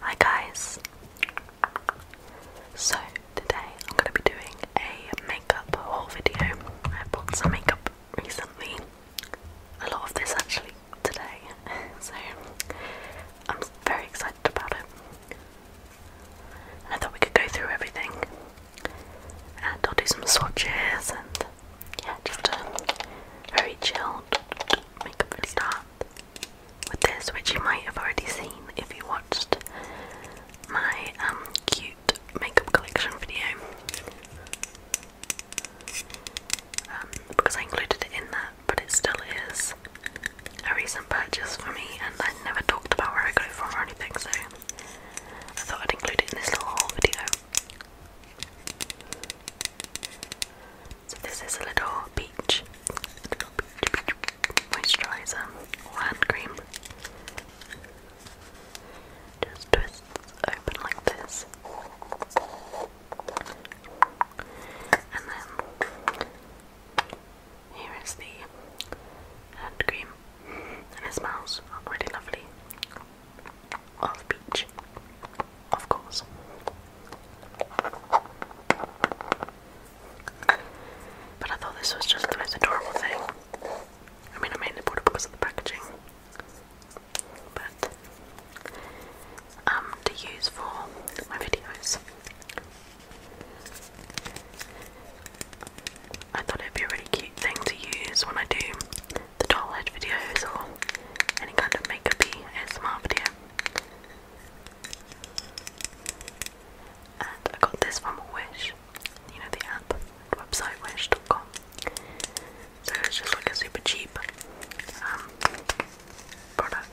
Hi guys! So today I'm going to be doing a makeup haul video. I bought some makeup recently. A lot of this actually today. So I'm very excited about it. I thought we could go through everything. And I'll do some swatches and yeah, just a very chilled makeup start with this, which you might have already seen if you watched my um, cute makeup collection video. Um, because I included it in that, but it still is a recent purchase for me, and I never talked about where I got it from or anything, so I thought I'd include it in this little video. So this is a little peach, moisturizer hand cream. Just twists open like this. And then here is the hand cream. And it smells really lovely. Of peach of course. But I thought this was just the most adorable thing. I mean, I mainly bought it because of the packaging. But, um, to use for my videos. I thought it'd be a really cute thing to use when I do the doll head videos or any kind of makeup ASMR video. And I got this from Wish, you know, the app, the website wish.com. So it's just like a super cheap um, product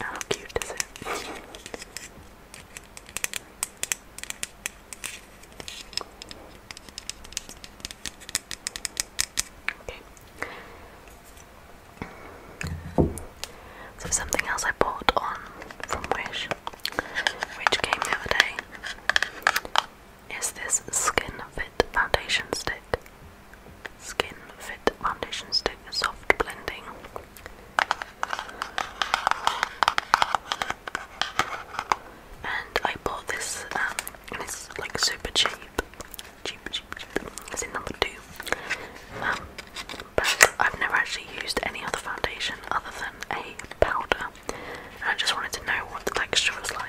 how cute is it? okay. So something else I bought on from Wish, which came the other day, is this Skin Fit Foundation Stick. Skin Fit Foundation Stick Soft Blending. And I bought this, um, it's like super cheap. Cheap, cheap, cheap. It's in number two. Um, but I've never actually used any other foundation other than a powder. And I just wanted to know what the texture was like.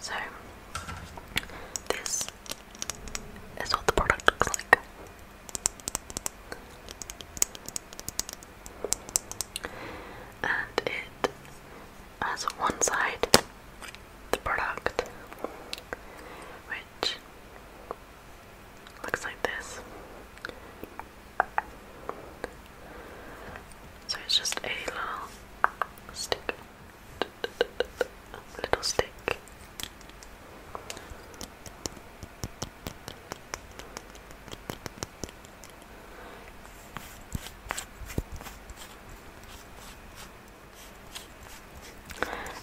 So, this is what the product looks like. And it has one side the product, which looks like this. So it's just a little stick, little stick.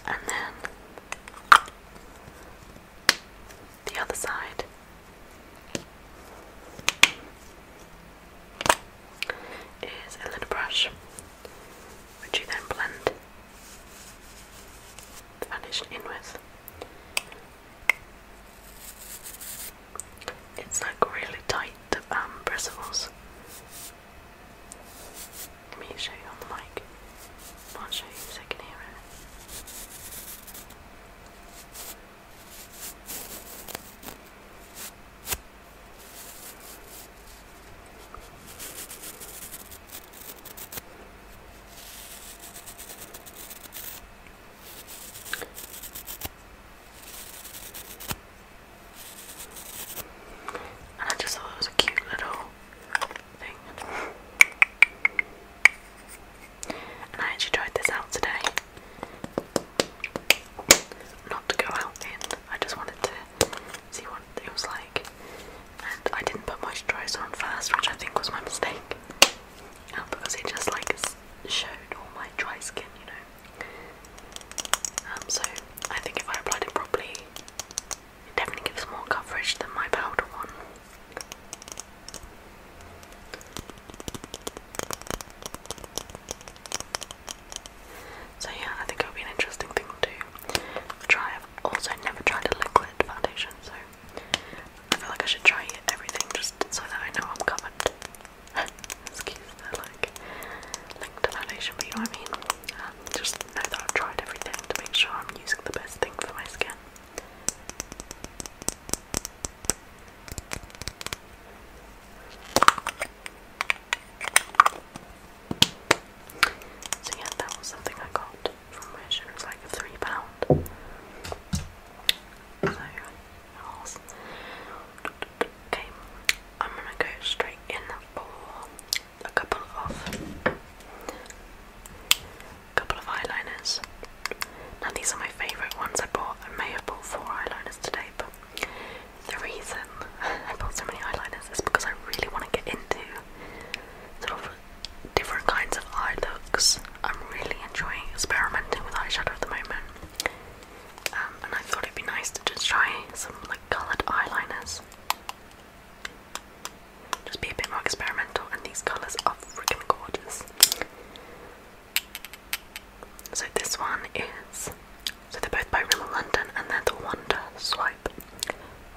And then the other side. Is a little brush which you then blend the foundation in with. It's like really tight, the um, bristles. Let me show you on the mic. I'll show you so you can hear it. I just thought it was a cute little thing. And I actually tried this out today. Not to go out in, I just wanted to see what it was like. And I didn't put moisturiser on first, which I think was my mistake. because it just like showed all my dry skin, you know. Um, so I think if I applied it properly, it definitely gives more coverage than my powder one. So yeah, I think it'll be an interesting thing to try. I've also never tried a liquid foundation, so I feel like I should try everything just so that I know I'm covered excuse the like link foundation, but I mean. Um, just know that I've tried everything to make sure I'm using the best thing for my skin. So yeah, that was something I got from Wish. It was like a three pound. Okay, I'm gonna go straight in the for a couple of couple of eyeliners. Now these are my favourite ones I bought. I may have bought four eyeliners today, but the reason I bought so many eyeliners is because I really want to get into sort of different kinds of eye looks. I'm really enjoying experimenting with eyeshadow at the moment. Um, and I thought it'd be nice to just try some like coloured eyeliners. Just be a bit more experimental, and these colours are freaking gorgeous. So this one is so they're both by Rimmel London, and they're the Wonder Swipe,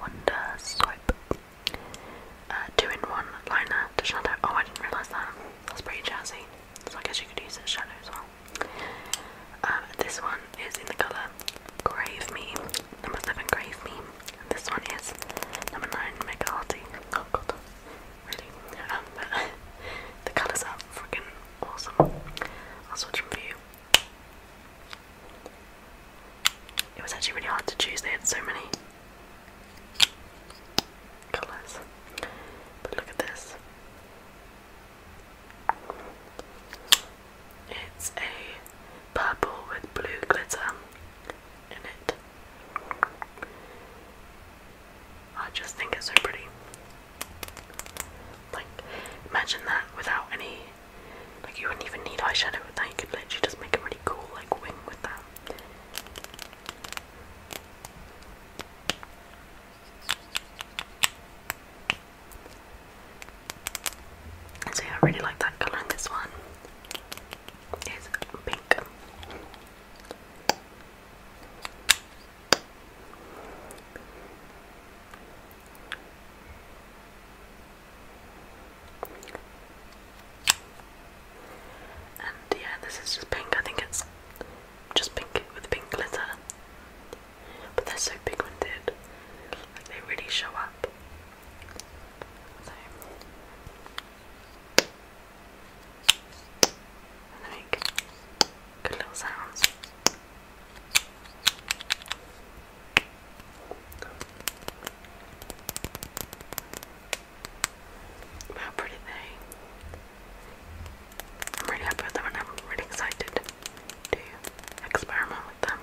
Wonder Swipe, uh, two in one liner to shadow. Oh, I didn't realise that. That's pretty jazzy so I guess you could use it shadow as well. Um, this one is in the colour Grave Me, number 7 Grave Me, this one is number 9 Mega Oh god, really? Um, but the colours are freaking awesome. I'll swatch them for you. It was actually really hard to choose, they had so many colors. But look at this. It's a purple with blue glitter in it. I just think it's so pretty. Like, imagine that without any, like, you wouldn't even need eyeshadow with that. You could literally just make a really cool, like, wing with that. So yeah, I really like that colour in this one. It's pink. And yeah, this is just pink. I think it's just pink with pink glitter. But they're so pigmented, like they really show up. So. good little sounds. How pretty they I'm really happy with them and I'm really excited to experiment with them.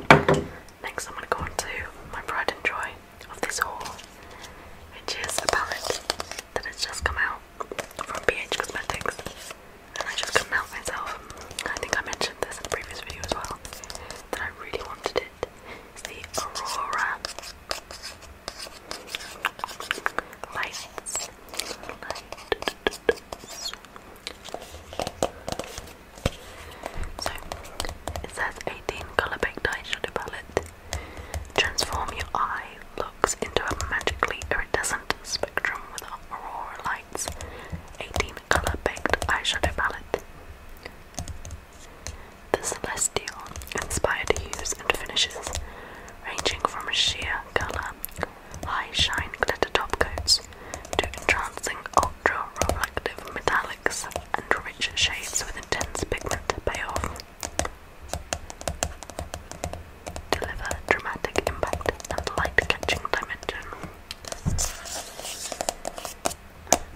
Okay. Next I'm going to my pride and joy of this haul, which is a palette that has just come out from BH Cosmetics, and I just couldn't help myself. I think I mentioned this in the previous video as well that I really wanted it. the Aurora Lights. So it says 18 color baked eye palette. Transform your eye into a magically iridescent spectrum with aurora lights. 18 color baked eyeshadow palette. The celestial inspired hues and finishes, ranging from sheer color, high shine glitter top to entrancing ultra reflective metallics and rich shades with intense pigment payoff deliver dramatic impact and light-catching dimension.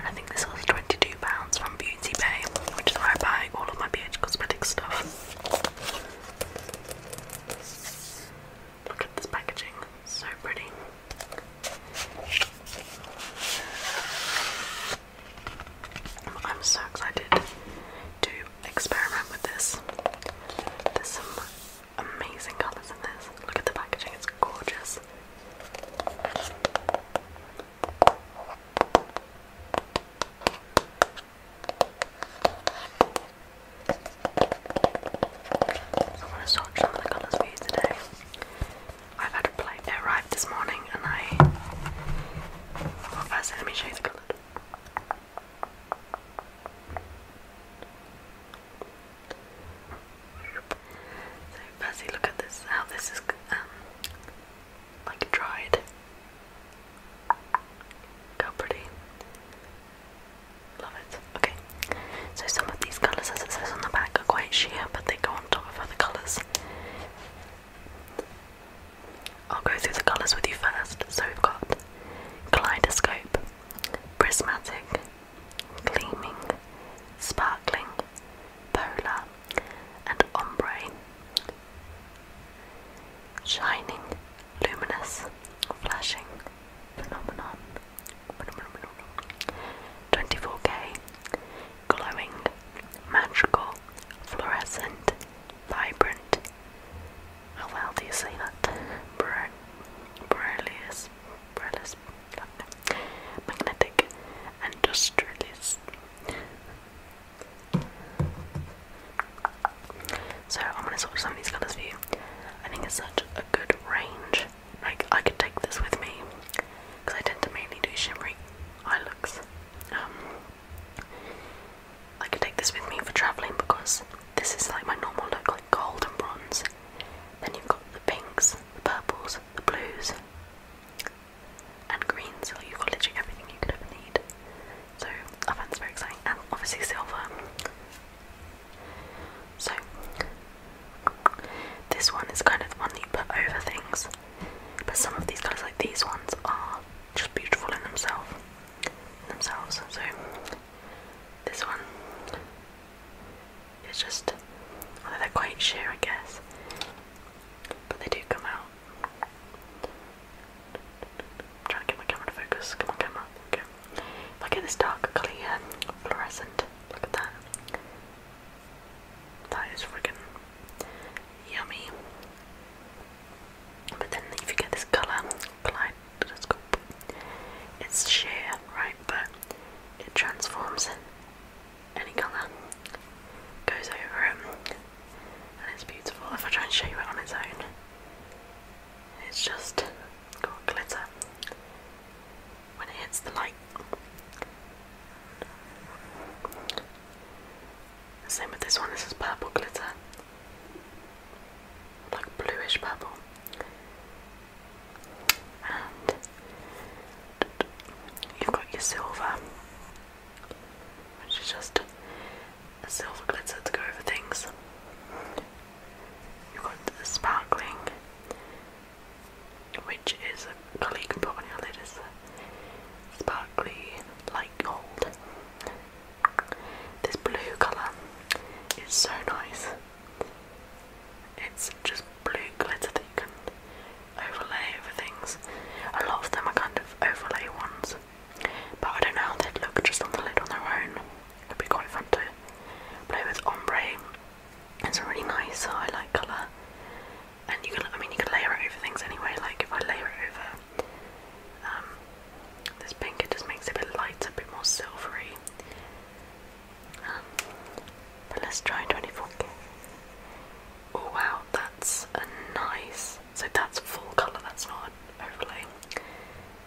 I think this was £22 from Beauty Bay, which is where I buy all of my BH Cosmetics stuff. Look at this packaging, so pretty. I'm so excited to experiment with this. There's some amazing colours in this. Look at the packaging, it's gorgeous. I want to swatch some of the colours for you today. I've had a plate arrive this morning and I. let me show the colour. So firstly, look at this. How this is um like dried. How pretty. Love it. Okay. So some of these colours, as it says on the back, are quite sheer, but they go on top of other colours. I'll go through the colours with you first. So we've got kaleidoscope, prismatic, gleaming, sparkling, polar, and ombre. Shining, luminous, flashing, phenomenon, phenomenon, 24k, glowing, magical, fluorescent, vibrant, how oh, well do you say that? Borrelius, Borrelius, magnetic industrialist. So I'm gonna swatch some of these colours for you. I think it's such a good range. Like I could take this with me because I tend to mainly do shimmery eye looks. Um, I can take this with me for travelling because this is like my normal look, like gold and bronze. Then you've got the pinks, the purples, the blues, and greens. So you've got literally everything you could ever need. So I find this very exciting, and obviously silver. So this one is kind of the one you put over things, but some of these colours, like these ones, are just beautiful in themselves themselves. So this one is just, although they're quite sheer, I guess, but they do come out. I'm trying to get my camera to focus. Come on, camera. Okay. If I get this dark clear, fluorescent. Look at that. That is freaking yummy. But then, if you get this colour, glide it's sheer, right? But it transforms in any colour, goes over it, um, and it's beautiful. If I try and show you it on its own, it's just got glitter when it hits the light. same with this one, this is purple glitter like bluish purple. And you've got your silver, which is just a silver glitter to go over things. You've got the sparkling, which is a colour you can put on your lid. sparkly light gold. This blue colour is so nice. It's just blue glitter that you can overlay over things. A lot of them are kind of overlay ones, but I don't know how they'd look just on the lid on their own. would be quite fun to play with ombre. It's a really nice highlight colour, and you can—I mean, you can layer it over things anyway. Like if I layer it over um, this pink it just makes it a bit lighter, a bit more silvery. Um, but let's try 24k. Oh wow, that's a nice. So that's full colour, that's not overlay.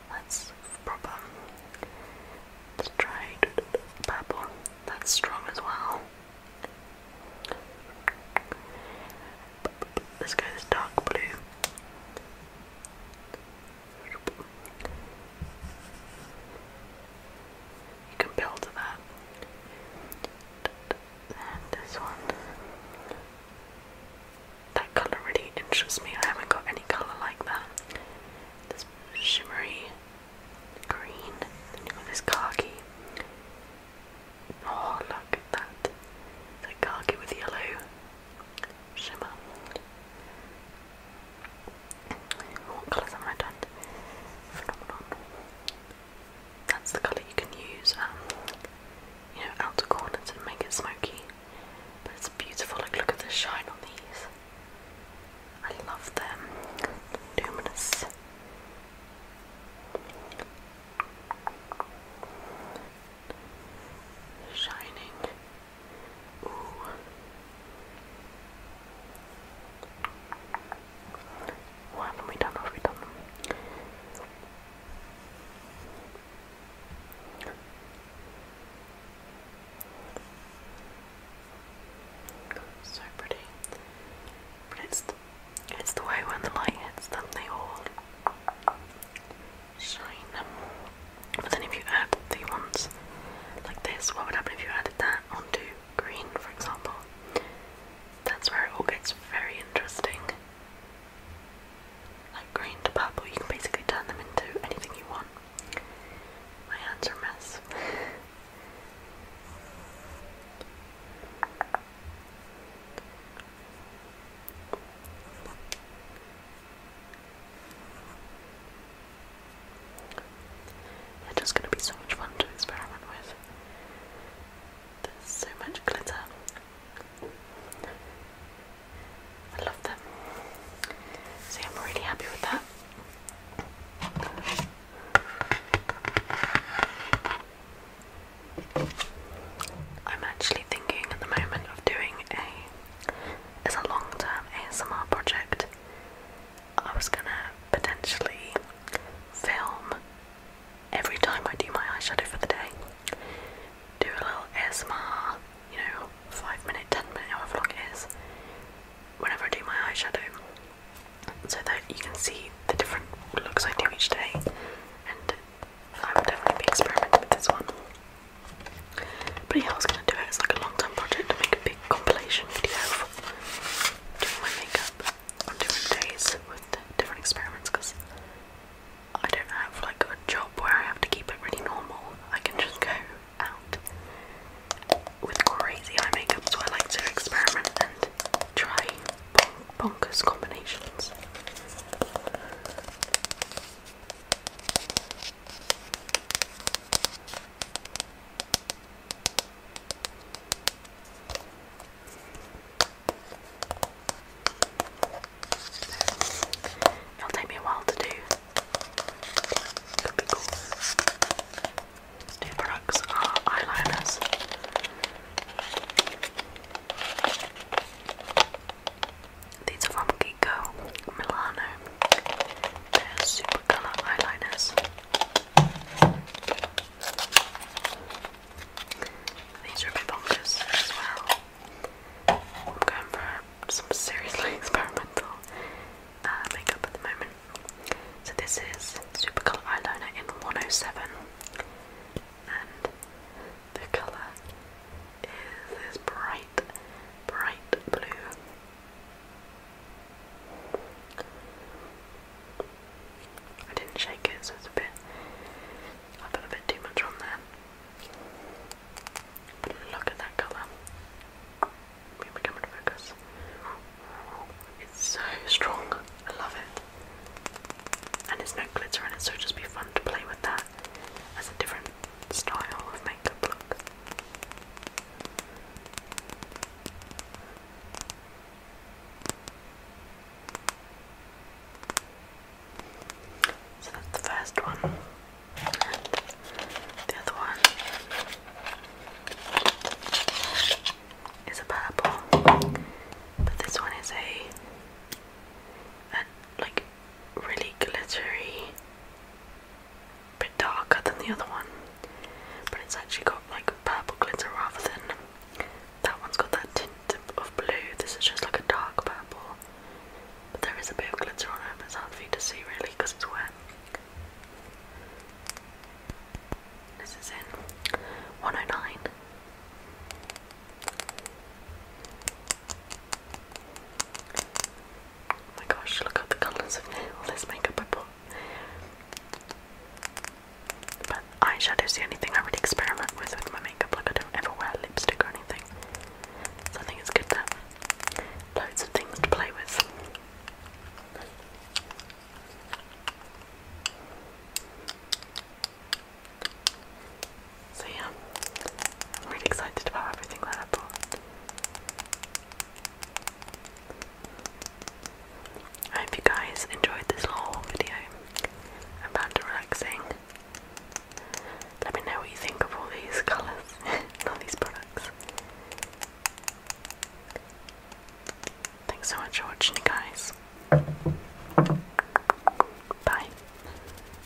That's proper. Let's try purple. That's strong as well. Let's go dark blue. You can build that. And this one. That colour really interests me. I haven't got any colour like that. This shimmery green. Then you've got this khaki. Oh, look at that. khaki with yellow shimmer. What colours have I done? Phenomenon. That's the colour you can use, um, you know, outer corners and make it smoky. But it's beautiful. Like, look at the shine on these. I love them. Luminous. Shining. Ooh. What have we done? What have done? So pretty. But it's it's the way when the light hits them, they all shine. But then if you add the ones like this, what would happen if you added that onto green, for example? That's where it all gets very interesting. Like green to purple, you can basically turn them into anything you want. My hands are a they're just going to be so much fun to experiment with. There's so much glitter. I love them. See, I'm really happy with that. I'm actually thinking at the moment of doing a it's a long-term ASMR project. I was gonna potentially film every time I do my eyeshadow for the day. Do a little ASMR, you know, five minute, ten minute, hour long it is, whenever I do my eyeshadow, so that you can see the different looks I do each day and i am definitely experimenting with this one. But yeah, I was gonna do it as like a long time project to make a big compilation video doing my makeup on different days with different experiments because I don't have like a job where I have to keep it really normal. I can just go out with crazy eye makeup, so I like to experiment and try bonkers combinations. It'll take me a while to do. Could be cool. New products are eyeliners. These are from Kiko Milano. They're super colour eyeliners. These are bonkers as well. I'm going for some seriously experimental uh, makeup at the moment. So this is super colour eyeliner in 107, the colour is this bright, bright blue. I didn't shake it, so it's a bit. I put a bit too much on there. But look at that colour. Move my camera to focus. It's so strong. I love it. And it's no glitter, and it, so it'll just be fun to play with that that as a different style of makeup look. So that's the first one, the other one is a purple, but this one is a like really glittery, bit darker than the other one, but it's actually got like purple glitter rather than that one's got that tint of blue. This is just like a dark purple, but there is a bit of glitter on it, it's hard for you to see really because it's wet. This is in 109. Oh my gosh, look at the colours of all this makeup I bought. But eyeshadow's the only thing I really experiment with with my makeup, like I don't ever wear lipstick or anything. So I think it's good to loads of things to play with. So yeah, I'm really excited about everything that I bought. I hope you guys enjoyed this little video. I found it relaxing. Let me know what you think of all these colours all these products. Thanks so much for watching, guys. Bye.